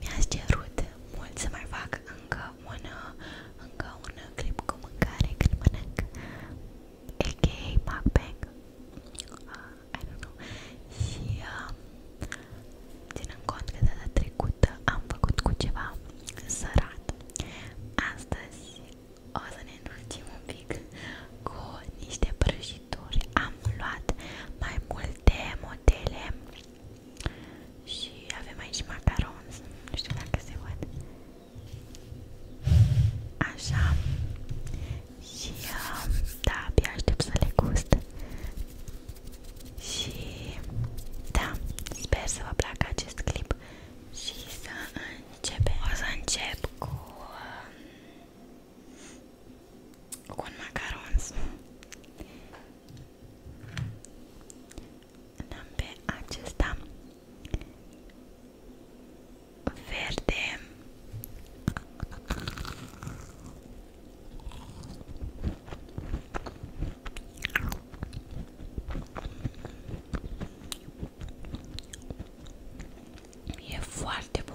Mi-ați cerut mult să mai fac încă un, încă un clip cu mâncare când mănânc a.k.a. mukbang uh, I don't know și uh, ținând cont că data trecută am făcut cu ceva sărat astăzi o să ne înrugim un pic cu niște prăjituri. Am luat mai multe modele și avem aici macarons, nu știu dacă se văd. Așa. Și um, da, abia aștept să le gust. Și da, sper să vă placă acest clip și să începem. O să încep cu um, cu un macarons l-am pe acesta verde E foarte bun.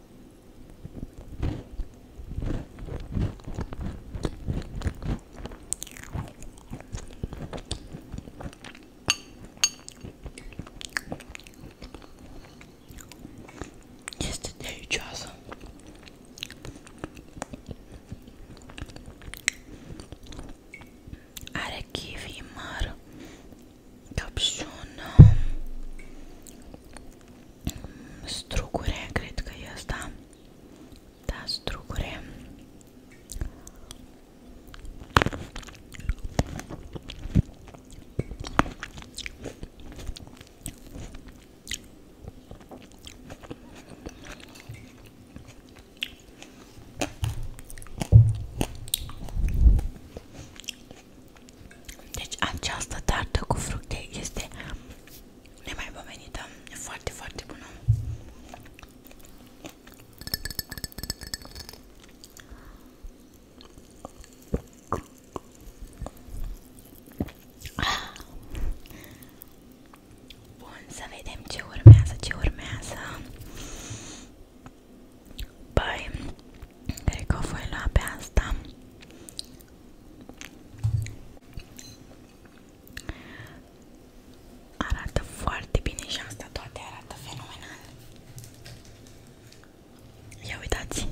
Este delicioasă. Are kiwi măr, căpșună, Strugure, cred că e asta. Da, strugure. Deci această tartă cu fructe este nemaipomenită, e foarte, foarte bună. Bun, să vedem ce urmează, ce urmează. Păi, cred că o voi lua pe asta Arată foarte bine și asta toate arată fenomenal. Ia uitați!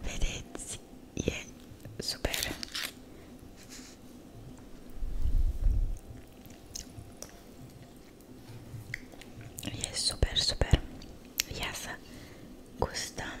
Vedeți? E super! E super, super! Ia să gustăm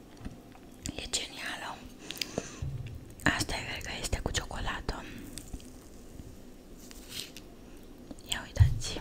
E genială. Asta e cred că este cu ciocolată. Ia uitați.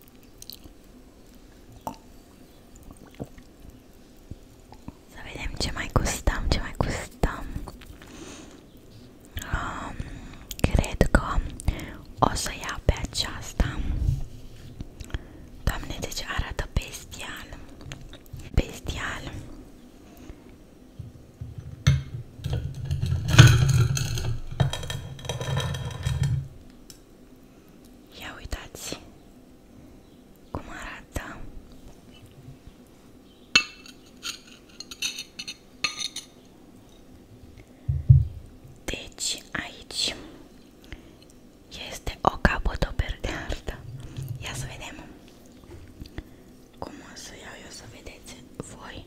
Să vedem ce mai gustăm, ce mai gustăm. Um, cred că o să iau pe aceasta. Doamne, deci arată bestial. Bestial. Ia uitați cum arată deci aici este o capodoperdeardă ia să vedem cum o să iau eu să vedeți voi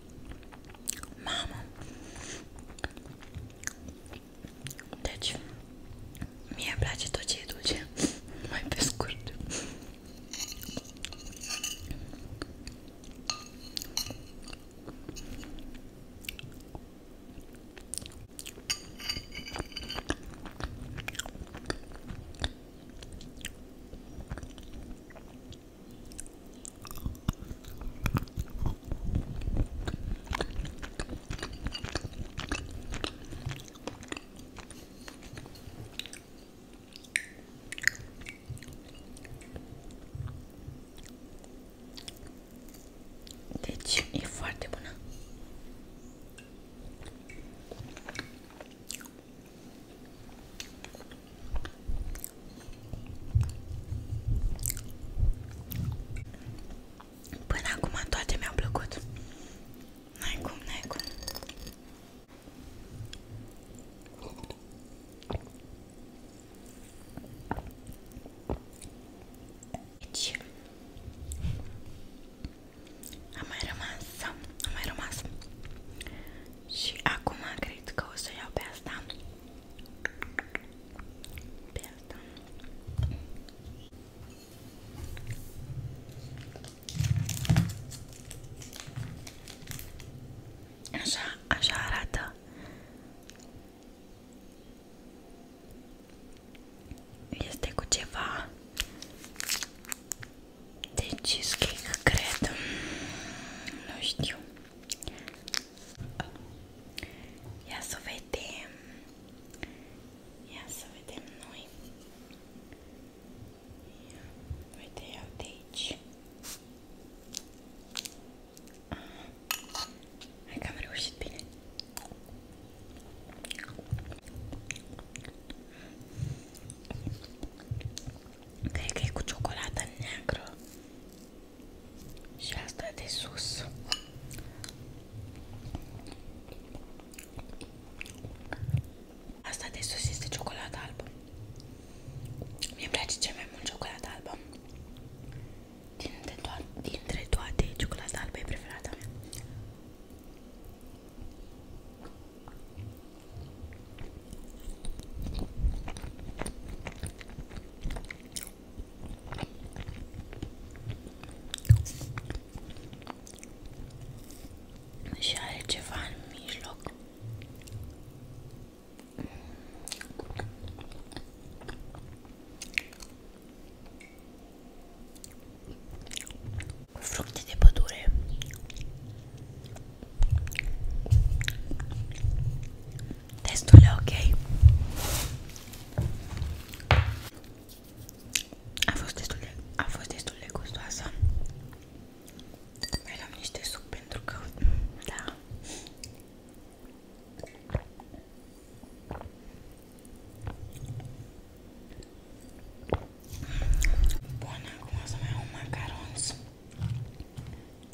Mamă! Deci, mie îmi place tot ce e dulce, mai pe scurt. Deci e foarte bună. Până acum toate mi-au plăcut. N-ai cum, n-ai cum. Deci, am mai rămas, am mai rămas. Și acum cred că o să iau pe asta. Aperta. Aşağı aşağı arada. Este cu ceva de cheesecake, cred. Nu știu. Ia să vedem. Ia să vedem noi. Ia. Uite, iau de aici. Aha. Hai că am reușit bine. Cred că e cu ciocolată neagră și asta de sus. Asta de sus este ciocolată albă. Mie îmi place cel mai mult ciocolată albă. Dintre, toate, dintre toate, ciocolata albă e preferata mea. Și are ceva în mijloc. Fructe de pădure. Destul de ok. A fost destul de, a fost destul de gustoasă. Mai luam niște suc pentru că, da. Bun, acum o să mai iau macarons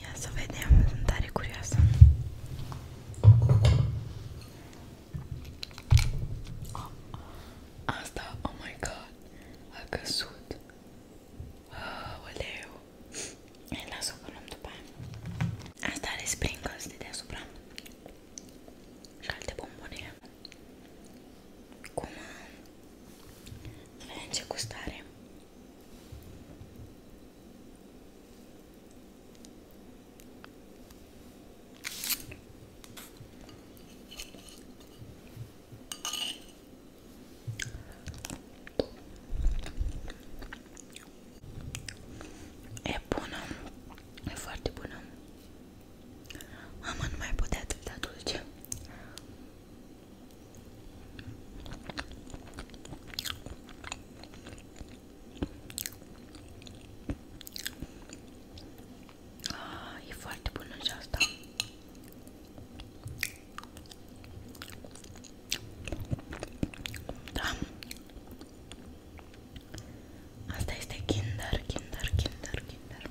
Ia să vedem, sunt tare curioasă. Oh. Asta, oh my god, a căzut. Oh, oleu. Îi las-o că luăm după aia. Asta are sprinkles de deasupra. Și alte bombone. Cum vedem ce gustare. E bună, e foarte bună. Mama nu mai putea atâta dulce. Ah, e foarte bună și asta. Da. Asta este Kinder, Kinder, Kinder, Kinder.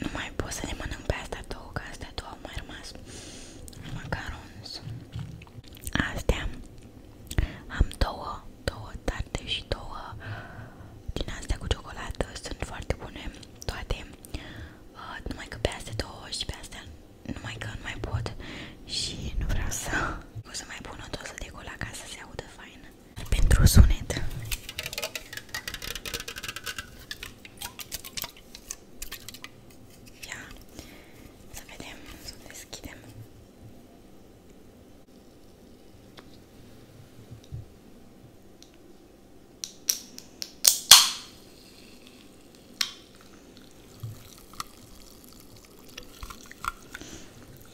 nu mai pot să le mănânc pe astea două, că astea două au mai rămas macarons. Astea am două, două tarte și două din astea cu ciocolată, sunt foarte bune toate, uh, numai că pe astea două și pe astea numai că nu mai pot și nu vreau să... O să mai pun o doză de cola ca să se audă fain. Pentru sunet. Ia, să vedem, să o deschidem.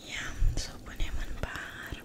Ia, să o punem în pahar.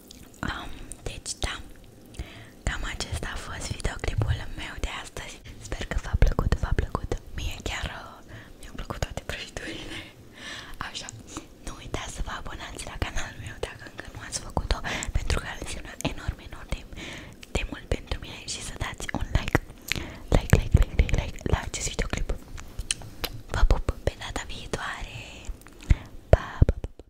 Um, deci da, cam acesta a fost videoclipul meu de astăzi. Sper că v-a plăcut, v-a plăcut. Mie chiar uh, mi-au plăcut toate prăjiturile. Așa, nu uitați să vă abonați la canalul meu dacă încă nu ați făcut-o, pentru că înseamnă enorm, enorm de, de mult pentru mine și să dați un like. Like, like, like, like, like la acest videoclip. Vă pup pe data viitoare. Pa, pa, pa.